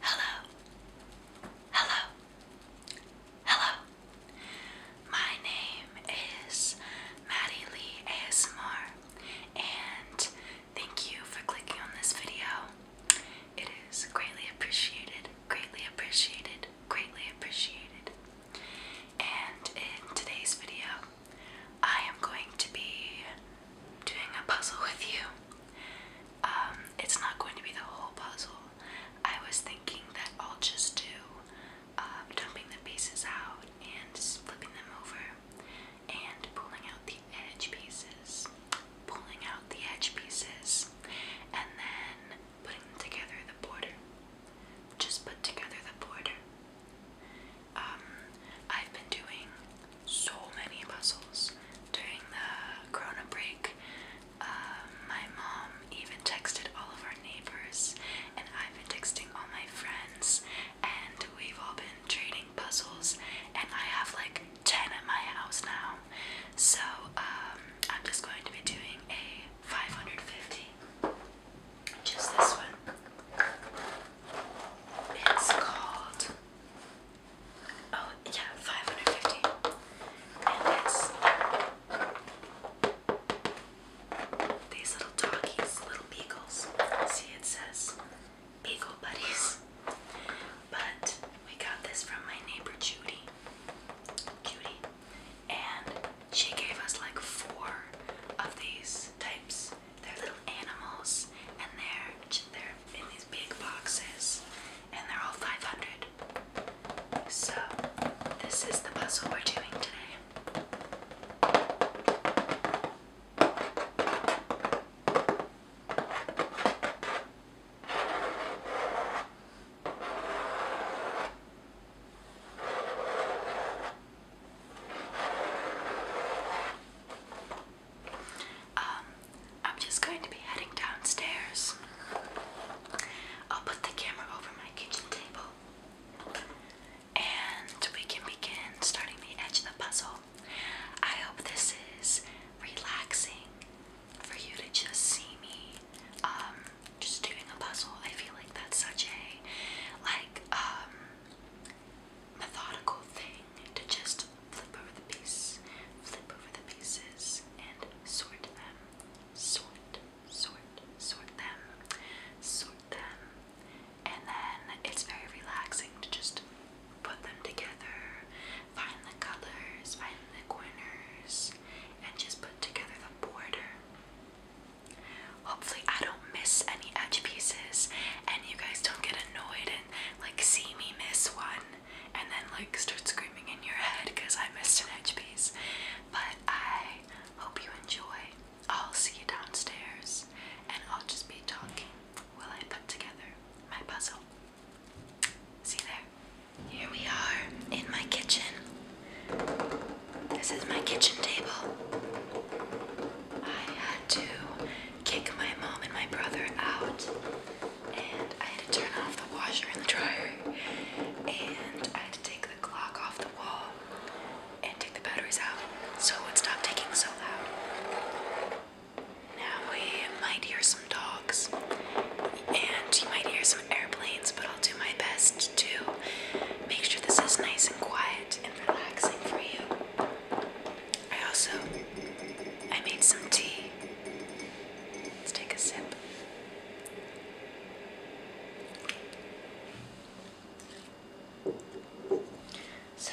Hello. Hello. Hello. My name is Maddie Lee ASMR and thank you for clicking on this video. It is greatly appreciated, greatly appreciated, greatly appreciated. And in today's video, I am going to be doing a puzzle with you. Um, it's not going to be the whole puzzle. I was thinking that I'll just do um, dumping the pieces out and flipping them over and pulling out the edge pieces, pulling out the edge pieces, and then putting together the border. Just put together the border. Um, I've been doing so many puzzles during the corona break. Um, my mom even texted all of our neighbors, and I've been texting all my friends, and we've all been trading puzzles. And I have like 10 at my house now. So um, I'm just going to be doing a 550. Just this one. It's called Oh, yeah, 550. And it's these little doggies, little beagles. See, it says Beagle Buddies. But we got this from my neighbor Judy. Judy. And she gave us like four of these types. They're little animals and they're they're in these big boxes, and they're all 500. So, this is the puzzle we're doing today. Um, I'm just going to be heading downstairs. I'll put the camera over my kitchen table and we can begin starting the edge the puzzle. I hope this is relaxing for you to just see me um, just doing a puzzle. I feel like that's such a like um, methodical thing to just flip over the piece, flip over the pieces, and sort them. Sort, sort, sort them, sort them. And then it's very relaxing to just put them together, find the colors, find the corners, and just put together the border. Hopefully, I don't miss any edge pieces and you guys don't get annoyed and like see me miss one and then like start screaming in your head because I missed an edge piece. But I hope you enjoy. I'll see you downstairs and I'll just be talking while I put together my puzzle. See there. Here we are in my kitchen. This is my kitchen table. I had to kick my mom and my brother out and I had to turn off the washer and the dryer, and I had to take the clock off the wall and take the batteries out so it would stop ticking so loud. Now we might hear some dogs, and you might hear some airplanes, but I'll do my best to make sure this is nice and quiet and relaxing for you. I also I made some tea. Let's take a sip. So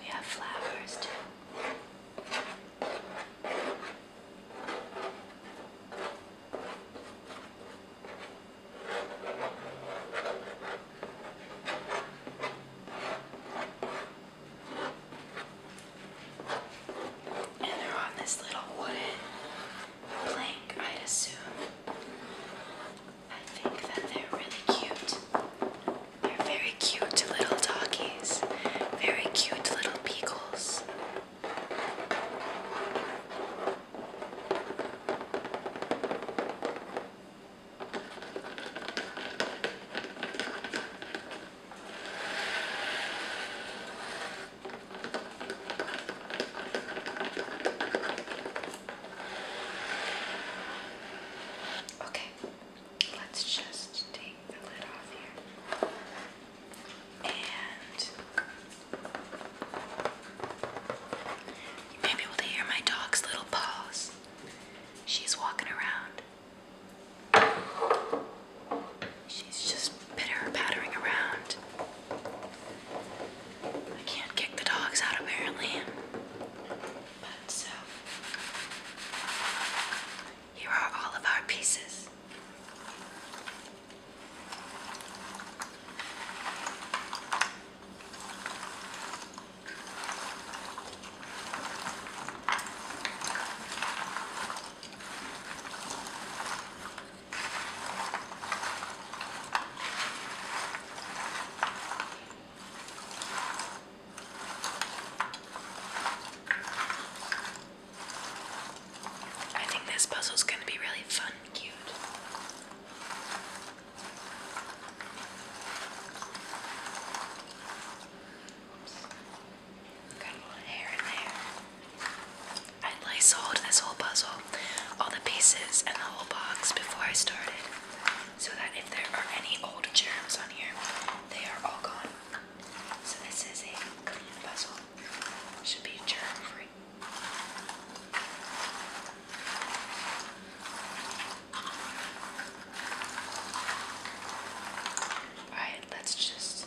We have flowers too. And they're on this little wooden blank, I'd assume. I think that they're really cute. They're very cute little doggies, very cute little beagles. Okay, let's just take the lid off here. And you may be able to hear my dog's little paws. She's walking around. She's just pitter pattering around. I can't kick the dogs out apparently. But so, here are all of our pieces. I think this puzzle's going to be really fun and cute. Oops. Got a little hair in there. I lysoled this whole puzzle, all the pieces and the whole box before I started, so that if there are any old germs on here, they are all gone. So this is a clean puzzle. Should be germ free. Alright, let's just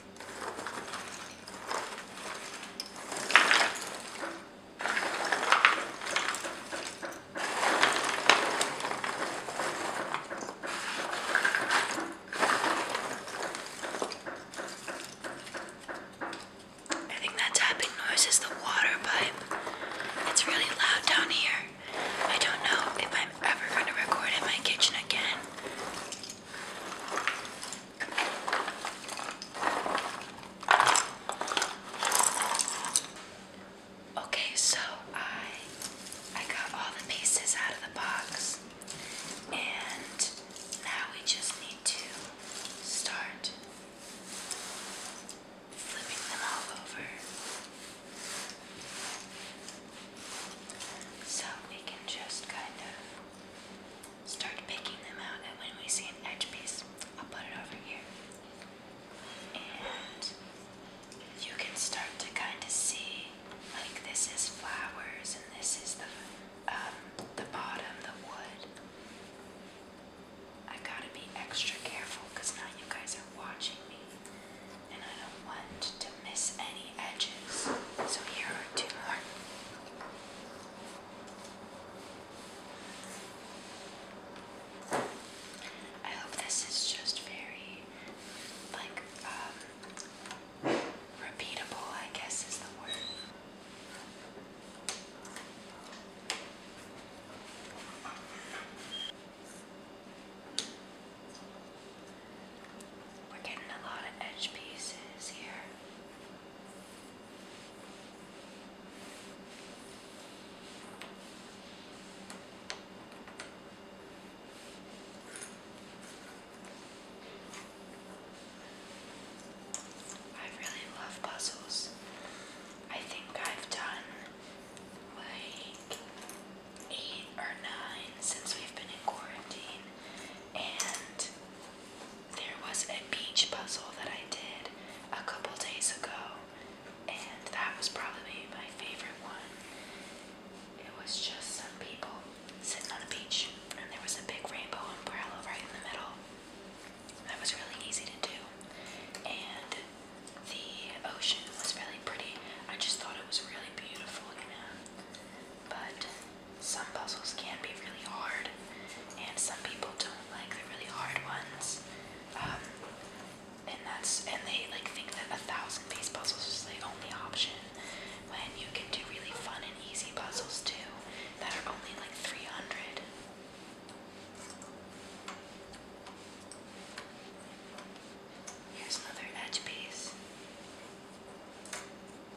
I think that tapping noise is the water pipe. It's really loud down here. I don't know if I'm ever going to record in my kitchen again. Okay, so I I got all the pieces out of the box and now we just need to start flipping them all over so we can just kind of start picking them out, and when we see an edge piece, I'll put it over here. And you can start to kind of see like this is flowers, and this is the um, the bottom, the wood. I gotta be extra careful because now you guys are watching me, and I don't want to miss any edges. So here are two. I hope this is just very, like, um, repeatable, I guess is the word. We're getting a lot of edge pieces here. I really love puzzles. I think I've done like eight or nine since we've been in quarantine, and there was a beach puzzle that I did a couple days ago, and that was probably my favorite one. It was just some people sitting on a beach, and there was a big rainbow umbrella right in the middle. That was really easy to do, and the ocean was really pretty. I just thought it was really beautiful, you know. But some puzzles can be really hard, and some people don't like the really hard ones. Um, and that's and they like think that a thousand piece puzzles is the only option when you can do really fun and easy puzzles too that are only like 300. Here's another edge piece.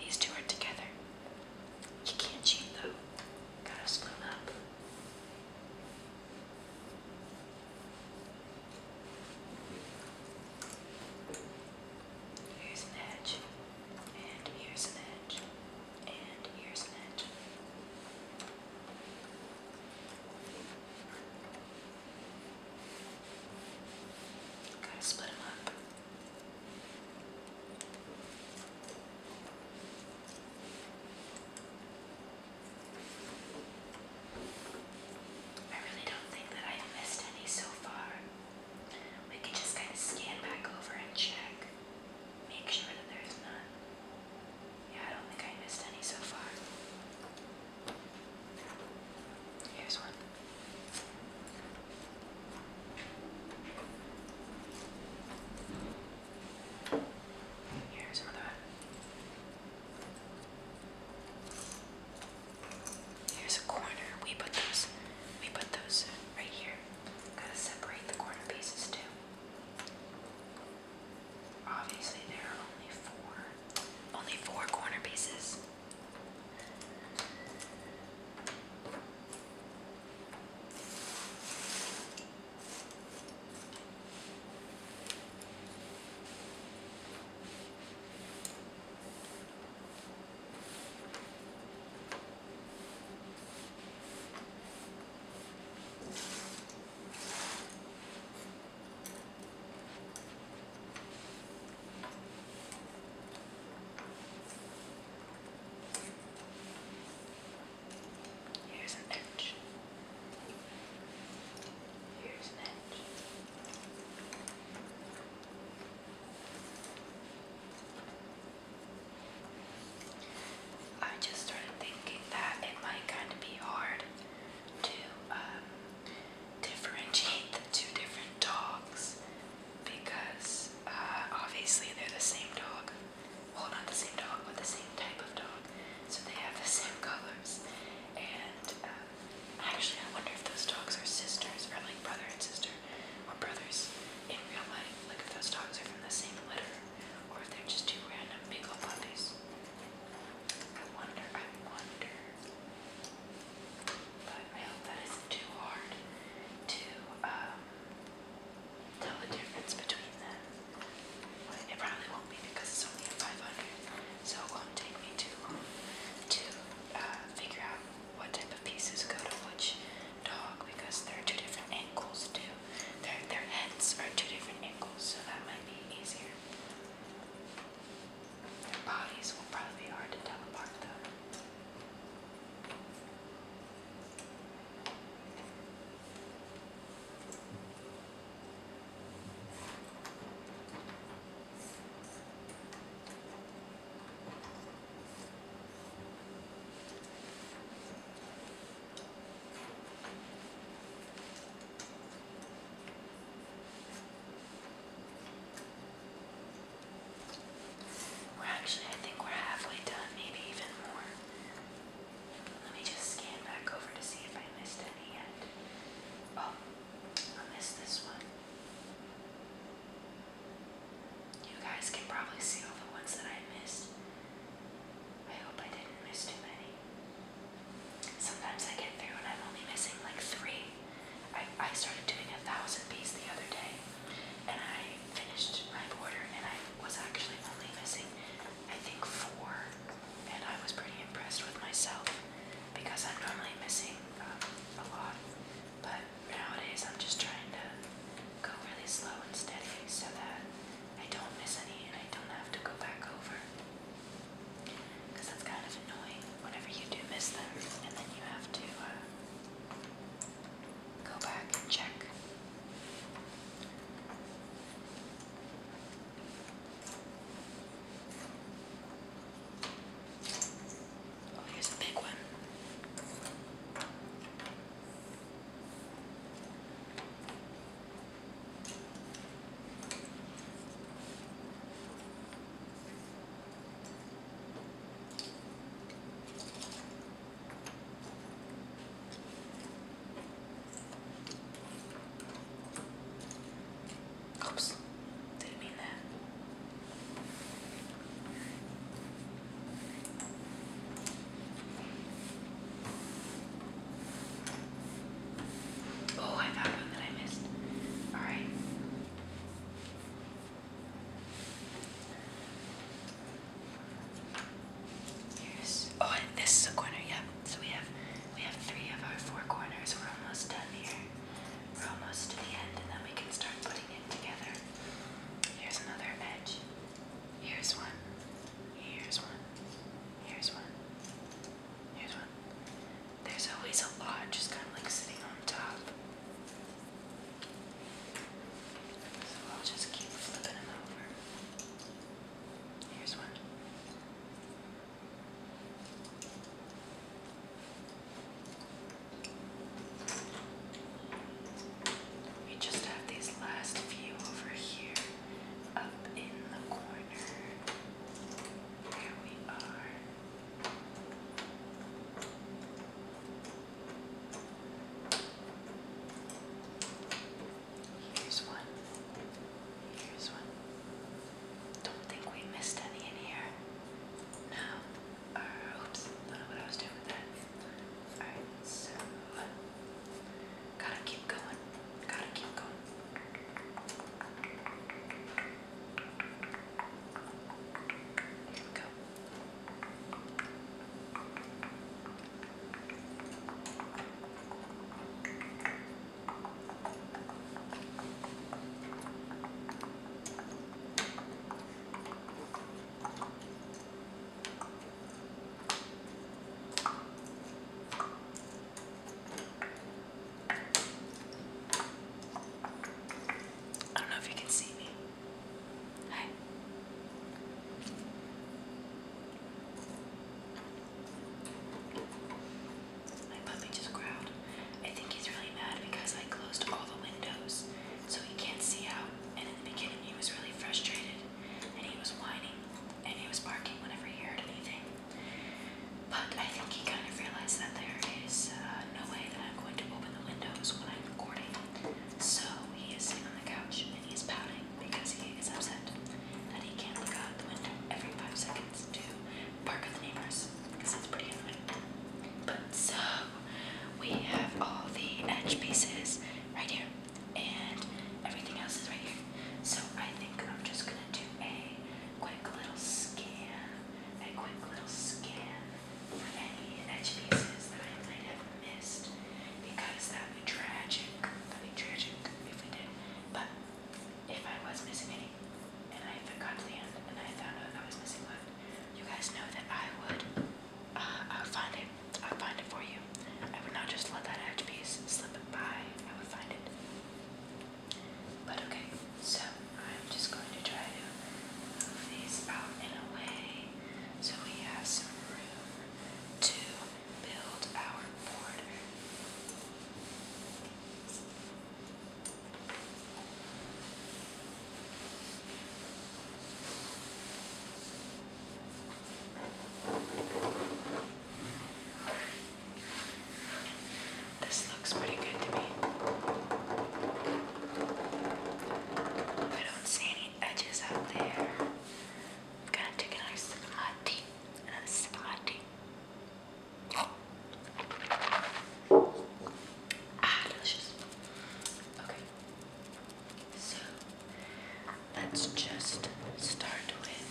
These two are together. You can't cheat though. Gotta split up. Here's an edge, and here's an edge, and here's an edge. Gotta split them up. I really don't think that I have missed any so far. We can just kind of scan back over and check. Make sure that there's none. Yeah, I don't think I missed any so far. Here's one. Here's another one. Here's a corner. We put those we put those right here. Gotta separate the corner pieces too. Obviously there are only four. Only four corner pieces. Here's an edge. Here's an edge. I just started thinking that it might kind of be hard to um, differentiate the two different dogs because uh, obviously they're the same dog. Well, not the same dog, but the same type of dog. So they have the same colors. And uh, Actually, I wonder if those dogs are sisters, or like brother and sister, or brothers in real life. Like if those dogs are from the same litter, or if they're just two random big old puppies. I wonder, I wonder. But I hope that isn't too hard to um, tell the difference between them. It probably won't be because it's only at 500 so it um, won't take me too long um, to uh, figure out what type of pieces go to which dog because there are two different angles too. Their, their heads are two different ankles, so that might be easier. Their bodies will probably be hard to tell apart though. We're actually, I think we're halfway done, maybe even more. Let me just scan back over to see if I missed any yet. Oh, I missed this one. You guys can probably see all the ones that I missed. I hope I didn't miss too many. Sometimes I get through and I'm only missing like three. I, I started doing a thousand piece the other day and I finished my border and I was actually only missing, I think, four and I was pretty impressed with myself because I'm normally missing um, a lot, but nowadays I'm just trying to go really slow and steady so that I don't miss any and I don't have to go back over. Because that's kind of annoying whenever you do miss them and then you have to uh, go back and check. Oh, here's a big one. Oops, didn't mean that. Oh, I found one that I missed. Alright. Here's oh and this is a corner, yep. So we have we have three of our four corners. We're almost done here. We're almost to the end and then we can start putting it together. Here's another edge. Here's one. Here's one. Here's one. Here's one. There's always a lot just kind of like sitting on top. So I'll just keep flipping them over. Here's one. We just have these last few over here up in the corner. There we are. Here's one. Here's one. Don't think we missed any in here. No. Uh, oops, don't know what I was doing with that. Alright, so. Gotta keep going. Gotta keep going. Here we go. I don't know if you can see me. Hi. My puppy just growled. I think he's really mad because I closed all the windows so he can't see out. And in the beginning, he was really frustrated and he was whining and he was barking whenever he heard anything. But I think he kind of realized that there is uh, no way that I'm going to open the windows when I'm recording. So he is sitting on the couch and he is pouting because he is upset that he can't look out the window every five seconds too. Park with Neighbors because it's pretty annoying. But so we have all the edge pieces right here, and everything else is right here. So I think I'm just gonna do a quick little scan, a quick little scan for any edge pieces that I might have missed, because that would be tragic. That'd be tragic if we did. But if I was missing any and I got to the end, and I found out I was missing one. You guys know that I would, uh, I would find it. I would find it for you. I would not just let that edge piece slip by. I would find it. But okay, so I'm just going to try to move these out and away so we have some room to build our border. This looks pretty good to me. I don't see any edges out there. i of my tea. Another sip of my tea. Ah, delicious. Okay. So let's just start with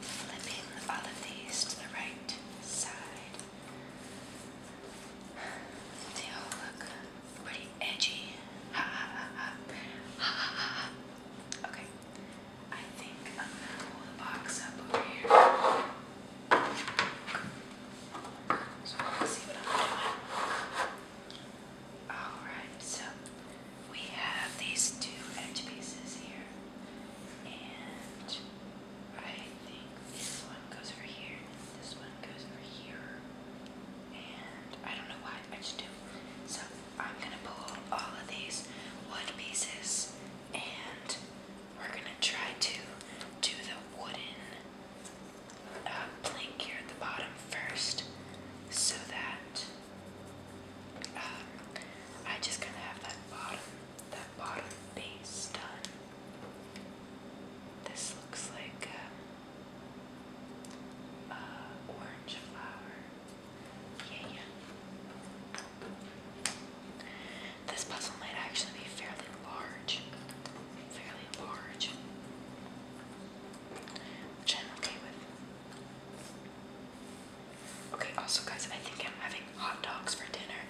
flipping all of these to the right side. They all look pretty edgy. ha ha ha. Ha ha ha ha. Okay. I think I'm gonna pull the box up over here. So I'm Alright, so we have these two edge pieces here. And I think this one goes over here, this one goes over here. And I don't know why, I just do. So I'm gonna pull all of these wood pieces and we're going to try to do the wooden uh, plank here at the bottom first so that um, I just kind of have that bottom, that bottom base done. This looks like a uh, uh, orange flower. Yeah, yeah. This puzzle might actually be fairly large. Fairly large. Which I'm okay with. Okay, also guys, I think I'm having hot dogs for dinner.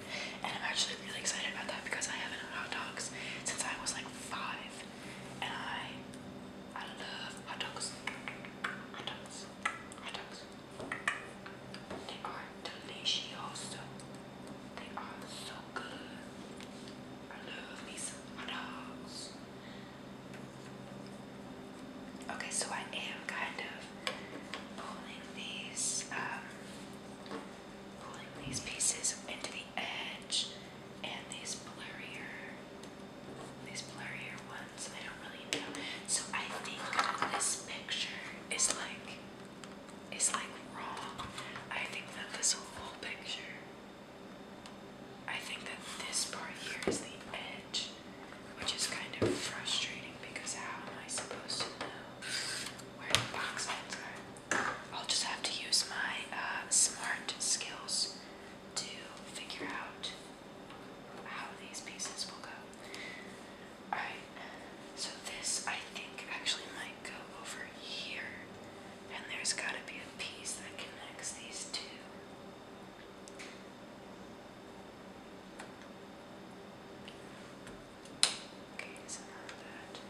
And I'm actually really excited about that because I haven't had hot dogs since I was like five. And I I love hot dogs. Hot dogs. Hot dogs. They are delicioso. They are so good. I love these dogs. Okay, so I am kind of pulling these, um, pulling these pieces into the edge, and these blurrier, these blurrier ones. I don't really know. So I think this picture is like it's like wrong. I think that this whole picture, I think that this part here is the edge, which is kind of frustrating because how am I supposed to know where the box ends are? I'll just have to use my uh, smart skills to figure out how these pieces will go. Alright, so this I think actually might go over here, and there's gotta be a piece that connects these two. Okay, so not that.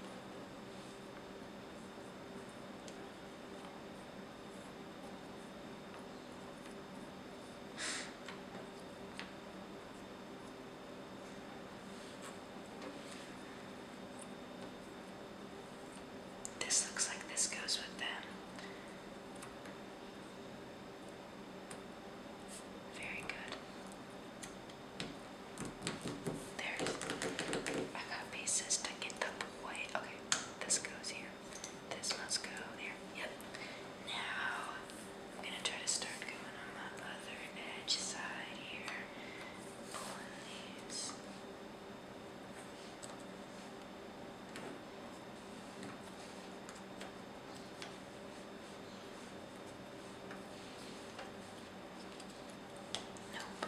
This looks like this goes with them. Very good. There. I got pieces to get the boy. Okay, this goes here. This must go there. Yep. Now I'm gonna try to start going on my other edge side here, pulling these. Nope.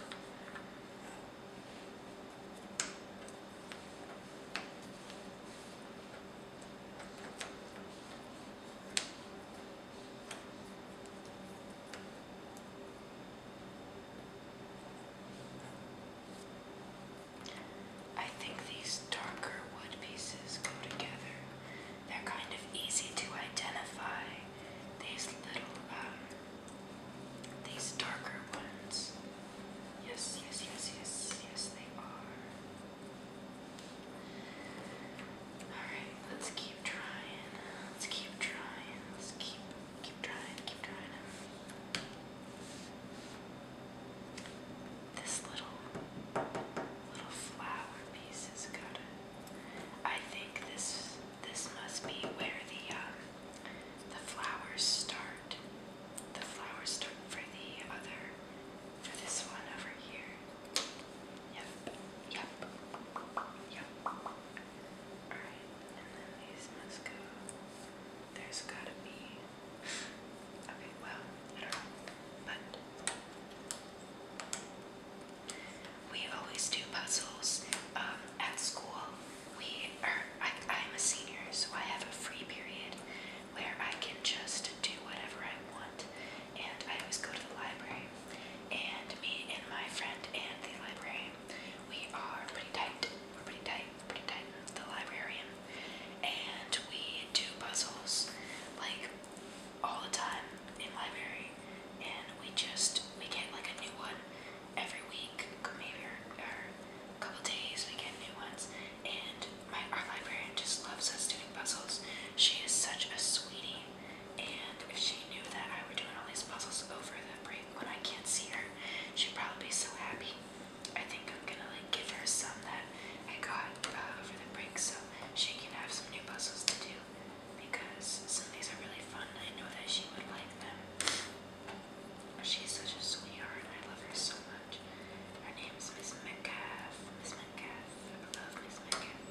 I think these darker wood pieces go together. They're kind of easy to identify. These little, um, these darker ones. Yes, yes, yes, yes, yes, they are. Alright, let's keep trying. Let's keep trying. Let's keep keep trying. Keep trying. This little little flower piece has got I think this this must be where the um, the flowers start. The flowers start for the other for this one over here. Yep, yep, yep. Alright, and then these must go. There's gotta be. Okay, well, I don't know. But. We always do puzzles um, at school. We are, I, I'm a senior, so I have a free period where I can just do whatever I want and I always go to the library. And me and my friend and the library, we are pretty tight. We're pretty tight. We're pretty tight. The librarian, and we do puzzles like all the time in library. And we just we get like a new one every week, maybe or, or a couple days we get new ones. And my our librarian just loves us doing puzzles. She is such a sweetie and if she knew that I were doing all these puzzles over the break when I can't see her, she'd probably be so happy. I think I'm gonna like give her some that I got uh, over the break so she can have some new puzzles to do because some of these are really fun. I know that she would like them. She's such a sweetheart. I love her so much. Her name's Miss Metcalf. Miss Metcalf. I love Miss Metcalf.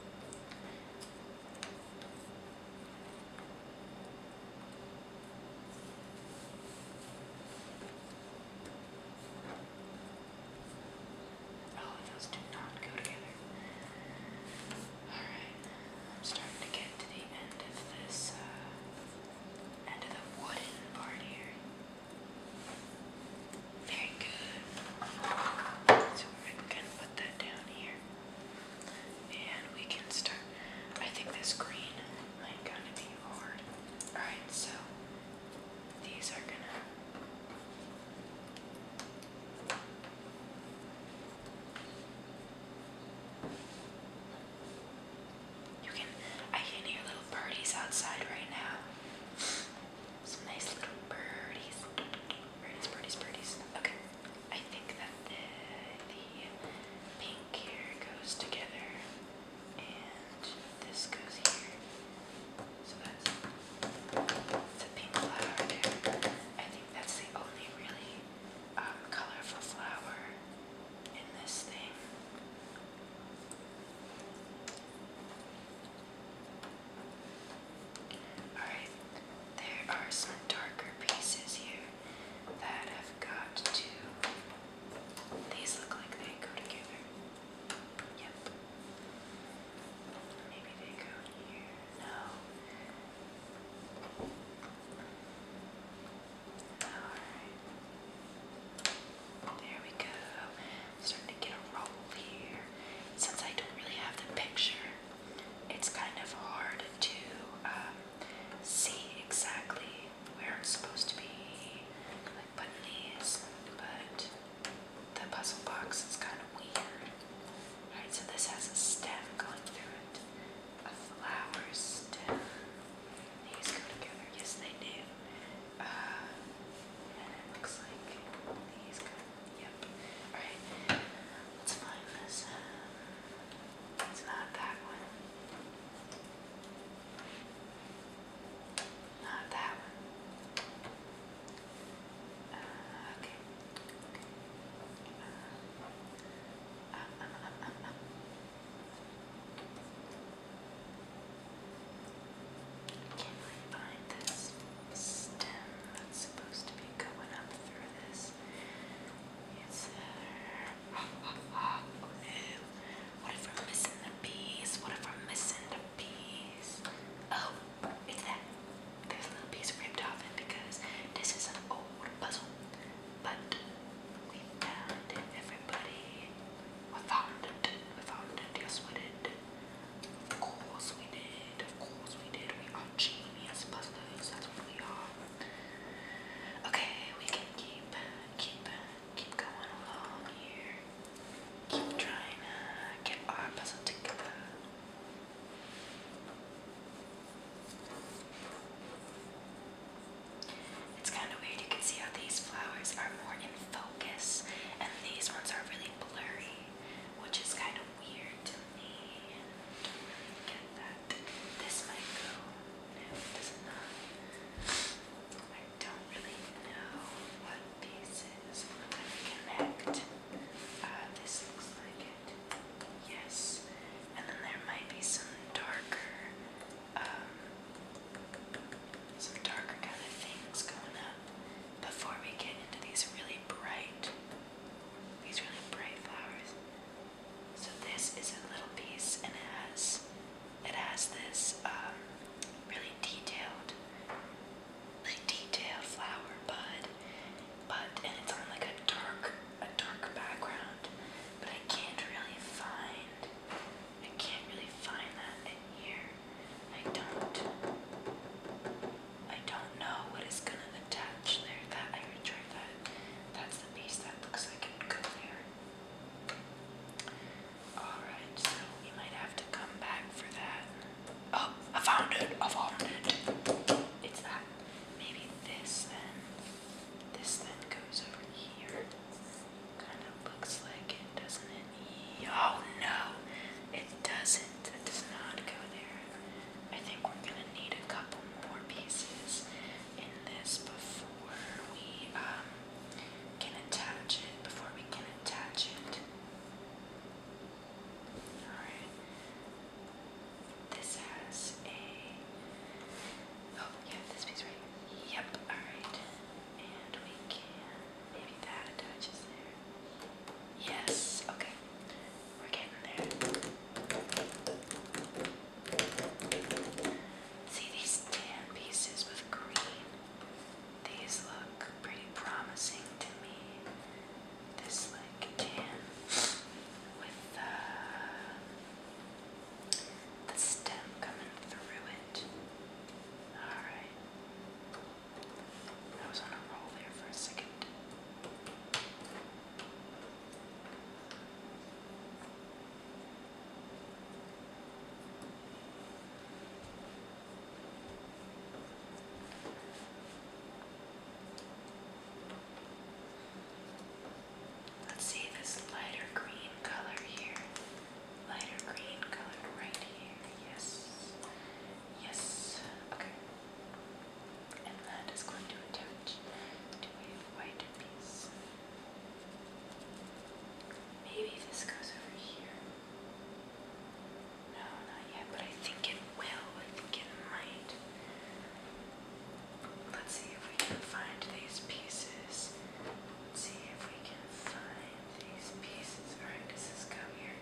Oh, those do not go together. Alright, I'm starting to get to the end of this, uh, end of the wooden part here. Very good. So we're gonna put that down here. And we can start. I think this green might gonna be hard. Alright, so these are gonna you can I can hear little birdies outside right now. Some nice little birdies. Birdies, birdies, birdies. Okay. I think that the, the pink here goes together and this goes here. So that's the pink flower I think that's the only really um, colorful flower in this thing. Alright, there are some darker pieces here that have got to. These look like they go together. Yep. Maybe they go here. No. Alright. There we go starting to get a roll here. Since I don't really have the picture, it's kind of hard to um, see exactly where it's supposed to be, like putting these, but the puzzle box is kind of weird. Alright, so this has a stem going through it, a flower stem. These go together, yes they do. Uh, and it looks like these go Yep. Alright. Let's find this. It's uh, not that one. Not that one. Uh, okay. Uh, Can I find this? stem that's supposed to be going up through this. It's uh, oh, What if we're missing the piece? What if we're missing the piece? Oh, it's that. There's a little piece ripped off it because this is an old puzzle. But we found it, everybody. We it. We it. Yes, we did. Of course we did. Of course we did. We are genius butlers. That's what we are. Okay, we can keep, keep, keep going along here. Keep trying to get our puzzle together. It's kind of weird. You can see how these flowers are more in focus, and these ones are really blurry, which is kind of weird that this might go. it does not. I don't really know what pieces connect. Uh, this looks like it. Yes. And then there might be some darker, um, some darker kind of things going up before we get into these really bright these really bright flowers. So this is a little piece, and it has it has this um, really detailed, really detailed flower bud, but and it's on like a dark a dark background. But I can't really find I can't really find that in here. I don't. I don't know what is gonna attach there. That I would try that. That's the piece that looks like it would go there. Alright, so we might have to come back for that. Oh, I found it! I found it! It's that. Maybe this then. This then goes over here. Kind of looks like it, doesn't it? Oh no! It doesn't. It does not go there. I think we're going to need a couple more pieces in this before we um, can attach it, before we can attach it. Alright. This has a, oh yeah, this piece right Yep, alright. And we can, maybe that attaches there. Yes, okay. We're getting there. See these tan pieces with green? These look pretty promising to me. This like tan with uh, the stem coming through it. Alright. I was on a roll there for a second. Let's see this lighter green color here. Lighter green color right here. Yes. Yes. Okay. And that is going to attach to a white piece. Maybe this goes over here. No, not yet, but I think it will. I think it might. Let's see if we can find these pieces. Let's see if we can find these pieces. Alright, does this go here?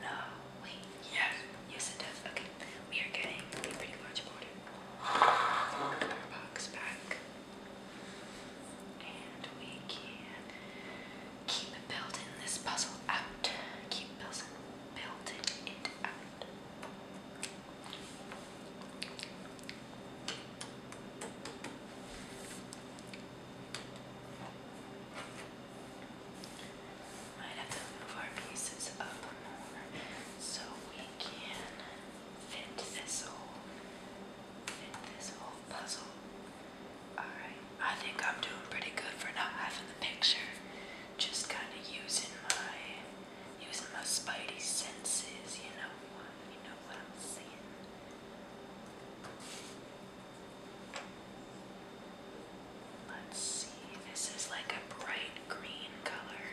No, wait, yes, yes it does. Okay, we are getting pretty large order. Our box back. And we can keep building this puzzle out. Keep building, building it out. Might have to move our pieces up more so we can fit this whole fit this whole puzzle. Alright, I think I'm doing pretty good for not having the picture. Just kinda using my using my spidey senses, you know you know what I'm saying. Let's see, this is like a bright green color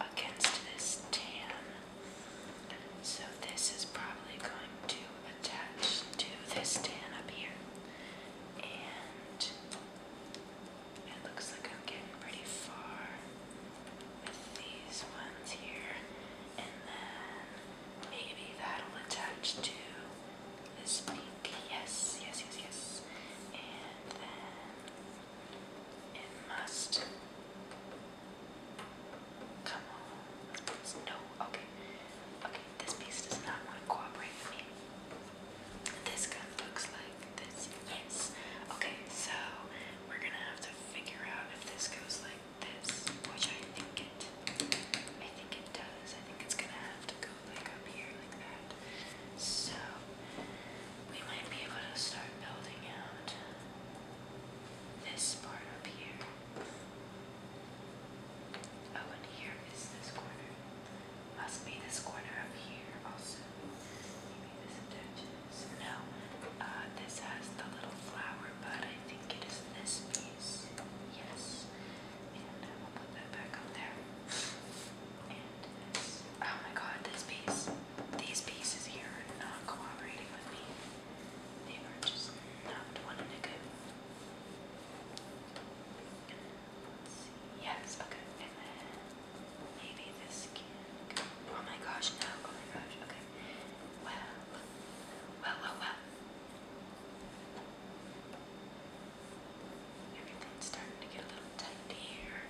against this tan. So this is probably going to attach to this tan up here. And it looks like I'm getting pretty far with these ones here. And then maybe that'll attach to is pink. Yes, yes, yes, yes. And then it must come on. No, okay. Okay, this piece does not want to cooperate with me. This gun looks like this. Yes. Okay, so we're gonna have to figure out if this goes like this, which I think it I think it does. I think it's gonna have to go like up here like that. So we might be able to start building out this part up here. Oh, and here is this corner. Must be this corner up here also. Maybe this attaches. No, uh, this has the little flower, but I think it is this piece. Yes. And I will put that back up there. And oh my god, this piece, these pieces here are not cooperating with me. They are just not wanting to go. Yes, okay. And then maybe this can Oh my gosh, no. Oh my gosh, okay. Well, well, well, well. Everything's starting to get a little tight here.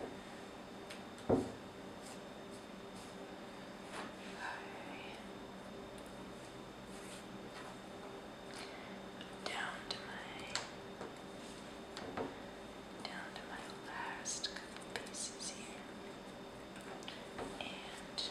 Down to my down to my last couple pieces here. And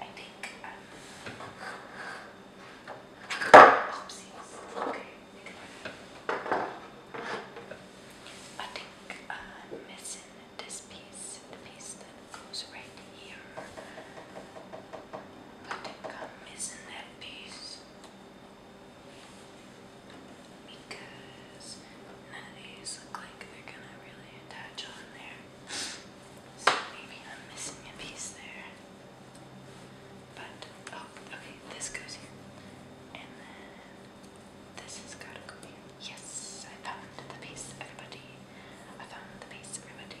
I think um oopsies. Okay. I think I'm uh, missing this piece, the piece that goes right here. I think I'm missing that piece because none of these look like they're gonna really attach on there. maybe I'm missing a piece there. But, oh, okay, this goes here. And then this has gotta go here. Yes, I found the piece, everybody. I found the piece, everybody.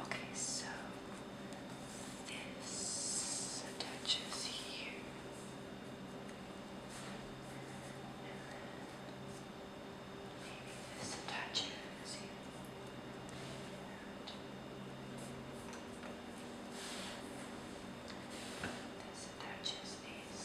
Okay, so this attaches here. And then this attaches here. And this attaches these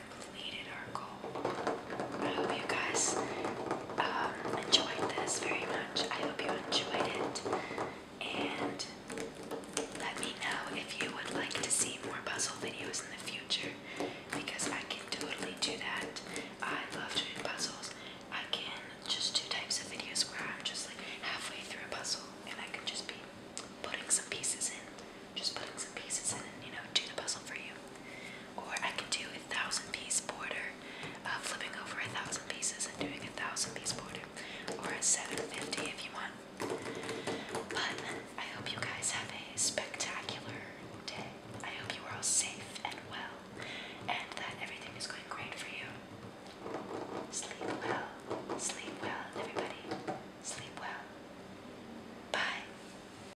completed our goal. I hope you guys um, enjoyed this very much. I hope you enjoyed it. And let me know if you would like to see more puzzle videos in the future because I can totally do that. I love doing puzzles. I can just do types of videos where I'm just like halfway through a puzzle and I can just be putting some pieces in, just putting some pieces in and you know, do the puzzle for you or I can do a thousand piece border, uh, flipping over a thousand pieces and doing a thousand piece border, or a 750 if you want. But I hope you guys have a spectacular day. I hope you are all safe and well, and that everything is going great for you. Sleep well, sleep well, everybody. Sleep well. Bye.